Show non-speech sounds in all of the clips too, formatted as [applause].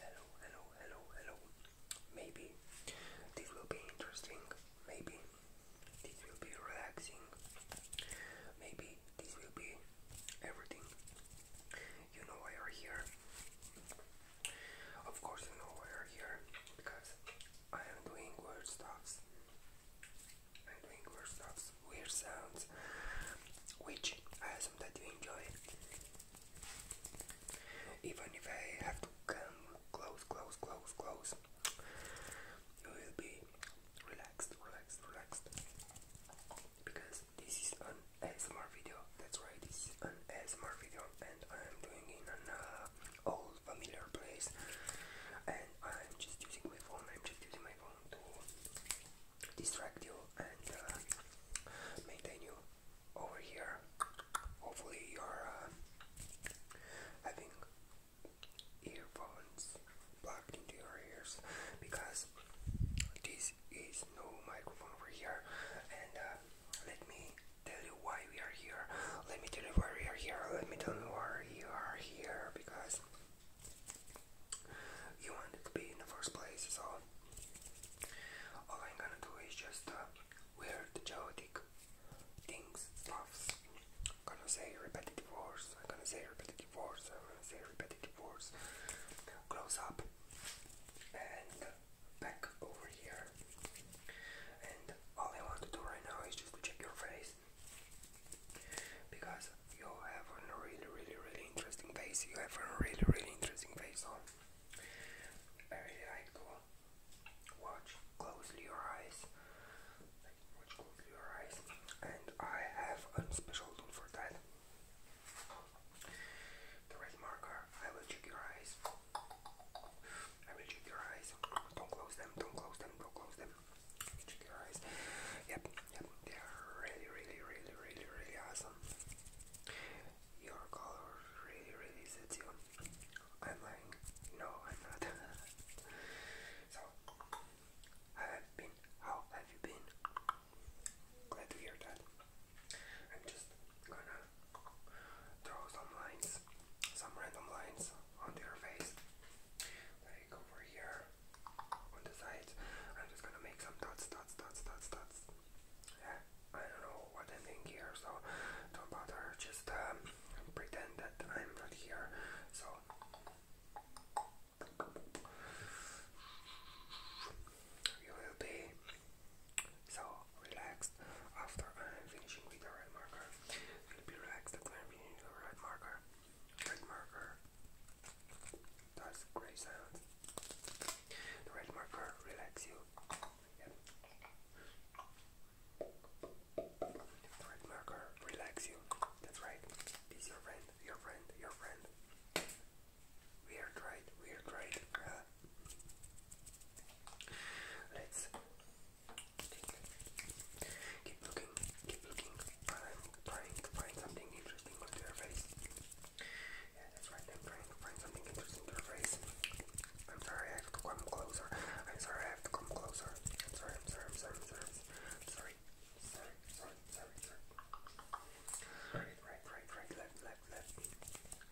Hello, hello, hello, hello. Maybe this will be interesting. Maybe this will be relaxing. Maybe this will be everything. You know why you're here. Of course, you know why you're here because I am doing weird stuffs and doing weird stuff, weird sounds, which I assume that you enjoy. Even if I have to come close, close, close, close, you will be relaxed, relaxed, relaxed. Because this is an ASMR video, that's why this is an ASMR video, and I am doing in an uh, old familiar place, and I'm just using my phone. I'm just using my phone to distract you and uh, maintain you over here. Hopefully, you're having uh, earphones plugged into your ears because this is no microphone over here. And uh, let me tell you why we are here. Let me tell you why we are here. Let me tell you why you are here because you wanted to be in the first place. So all I'm gonna do is just uh, weird, chaotic things, stuffs. I'm gonna say repetitive words. I'm gonna say repetitive words. I'm gonna say repetitive words. Close up and back over here. And all I want to do right now is just to check your face because you have a really, really, really interesting face. You have a really, really interesting face. So I really like to watch closely your eyes. watch closely your eyes, and I have a special tool for that. The red marker. I will check your eyes. I will check your eyes. Don't close them. Don't close them. Don't close them. Yep, yep, they are really, really, really, really, really awesome. Your color really, really suits you. I'm lying. No, I'm not. [laughs] so, How have you been? Glad to hear that. I'm just gonna throw some lines, some random lines onto your face over here on the sides. I'm just gonna make some dots, dots, dots, dots, dots. Yeah, I don't know what I'm doing here, so don't bother. Just um, pretend that I'm not here. So. You will be so relaxed after I'm finishing with the red marker. You'll be relaxed after I'm finishing with the red marker. Red marker, that's great sound. The red marker relax you. The red marker relax you. That's right. It's your friend, your friend, your friend. Weird, right? Weird, right? let's keep looking, keep looking trying to find something interesting on their face. Yeah, that's right, I'm trying to find something interesting to their face. I'm sorry, I have to come closer. I'm sorry, I have to come closer. I'm sorry, I'm sorry, I'm sorry, I'm sorry. I'm sorry. Sorry, sorry, sorry, sorry. Right, right, right, right, left, left, left.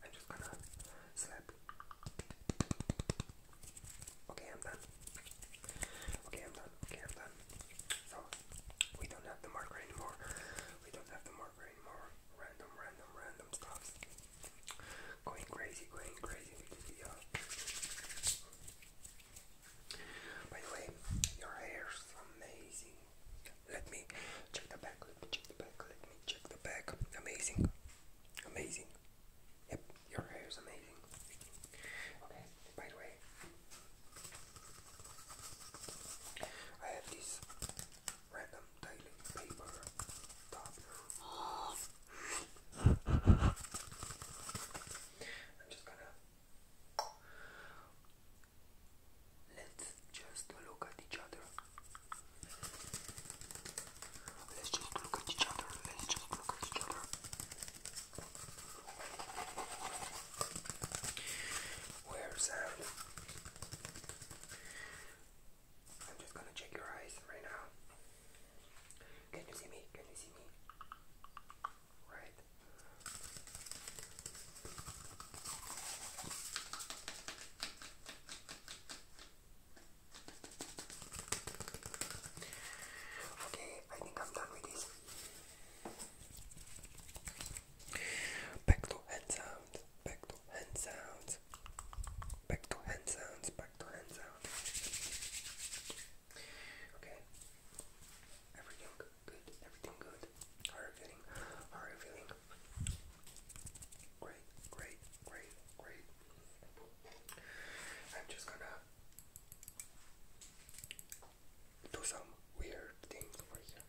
I'm just gonna slap. Okay, I'm done. Okay, I'm done. Okay, I'm done. So we don't have the marker anymore. We don't have the marker anymore. Random, random, random stuffs. Going crazy, going crazy uh, By the way, your hair's amazing. Let me check the back, let me check the back, let me check the back. Amazing. Amazing. Yep, your hair is amazing. Okay, by the way, I have this random daily paper I'm just gonna let's just look at each other. Let's just look at each other. Let's just look at each other. Where's that? I'm just gonna check your eyes right now. Can you see me? Can you see me? Right. Okay, I think I'm done with this. Backdoor hand sounds, backdoor hand sounds, backdoor hand sounds, backdoor hand sounds. Okay. Everything good, everything good. How are you feeling? How are you feeling? Great, great, great, great. I'm just gonna do some weird things over here.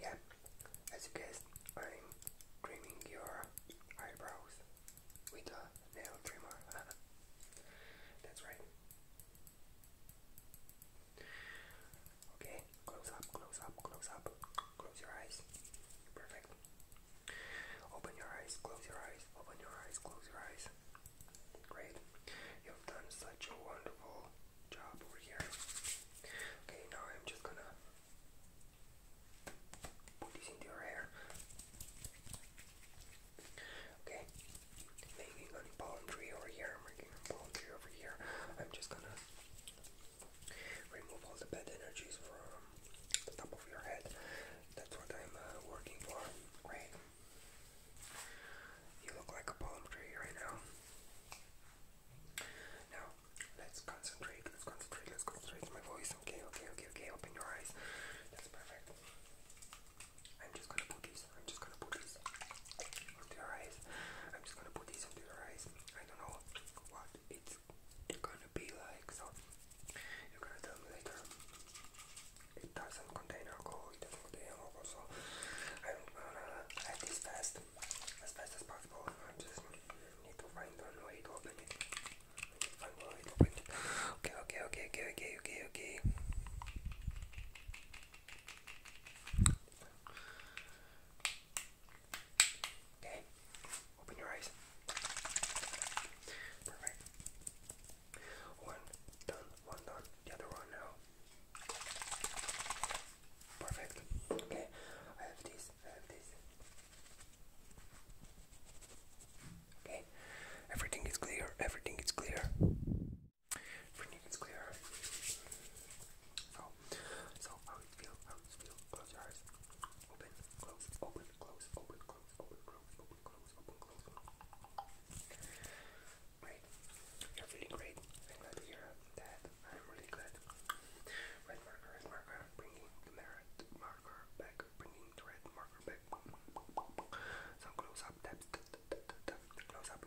Yeah, as you guessed, I'm trimming your eyebrows with a nail trimmer. [laughs] That's right. Okay, close up, close up, close up, close your eyes. Perfect. Open your eyes, close your eyes, open your eyes, close your eyes. Great. You've done such a wonderful job over here. Okay, now I'm just gonna put this into your hair. Okay, making a palm tree over here, making a palm tree over here. I'm just gonna remove all the bad energies from the top of your head. That's what I'm uh, working for. Great. You look like a palm tree right now. Now, let's concentrate, let's concentrate, let's concentrate my voice. Okay, okay, okay, okay, open your eyes. That's perfect. I'm just gonna put these, I'm just gonna put these onto your eyes. I'm just gonna put these onto your eyes. I don't know what it's it's gonna be like. So you're gonna tell me later. It doesn't contain alcohol. It doesn't contain alcohol. So I'm gonna add this fast, as fast as possible. I just need to find one way to open it. find one way to open it. Okay, okay, okay, okay, okay, okay, okay. Okay, Open your eyes. Perfect. One done, one done, the other one now. Perfect. Okay, I have this, I have this. Okay, everything is clear, everything is clear. Everything is clear. So, so how it feel, how it feel, close your eyes. Open, close, open, close, open, you're really great. I'm glad to hear that. I'm really glad. Red marker, red marker, bringing the red marker back, bringing the red marker back. Some close up taps, close up.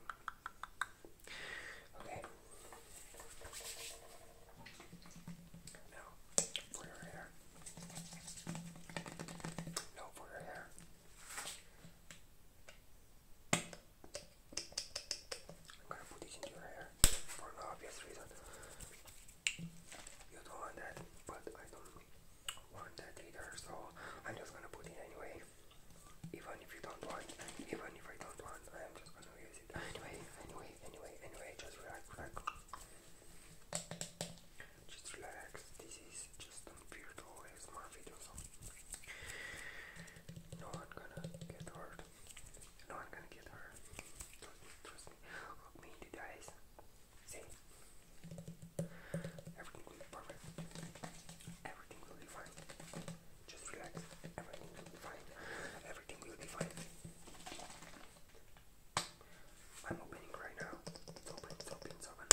Okay. Now, for hair. I'm gonna put this into your hair for an obvious reason. You don't want that, but I don't want that either, so I'm just gonna put it anyway. Even if you don't want, even if I don't want, I'm just gonna use it anyway, anyway, anyway, anyway. Just relax, relax. Just relax. This is just a virtual ASMR video, no one gonna get hurt. No one gonna get hurt. Trust me. Look me in the eyes. See, everything will be perfect. Everything will be fine. Just relax. Everything will be fine. Everything will be fine. I'm opening right now. It's open, it's open, it's open.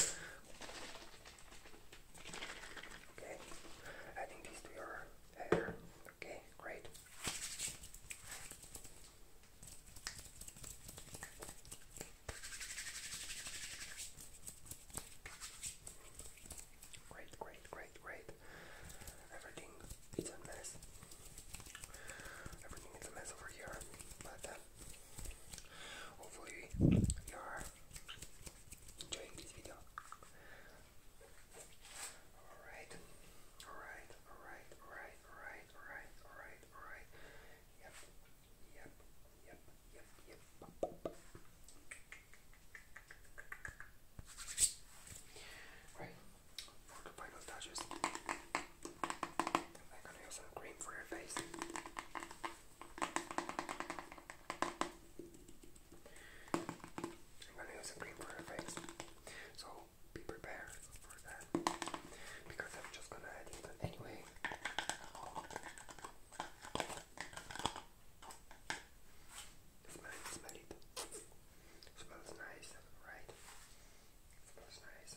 Okay, adding these to your hair. Okay, great. Great, great, great, great. Everything is a mess. Everything is a mess over here, but uh, hopefully you are enjoying this video. Alright, alright, alright, alright, alright, alright, alright, alright. Yep, yep, yep, yep, yep. Right, I'm gonna use some cream for your face. I'm gonna use some cream for your face. So be prepared for that because I'm just gonna add it anyway. it. Smells nice, right? Smells nice.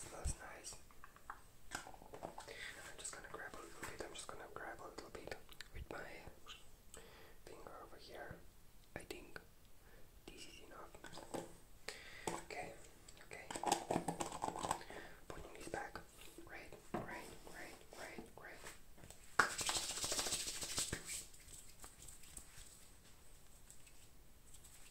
Smells nice. I'm just gonna grab a little bit. I'm just gonna grab a little bit with my finger over here. I think this is enough. Okay, okay. Putting this back. Right, right, right, right, right.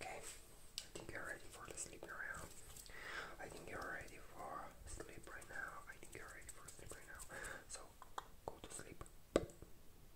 Okay, I think you're ready for the sleep now. I think you're ready for sleep right now. I think you're ready for sleep right now. So go to sleep.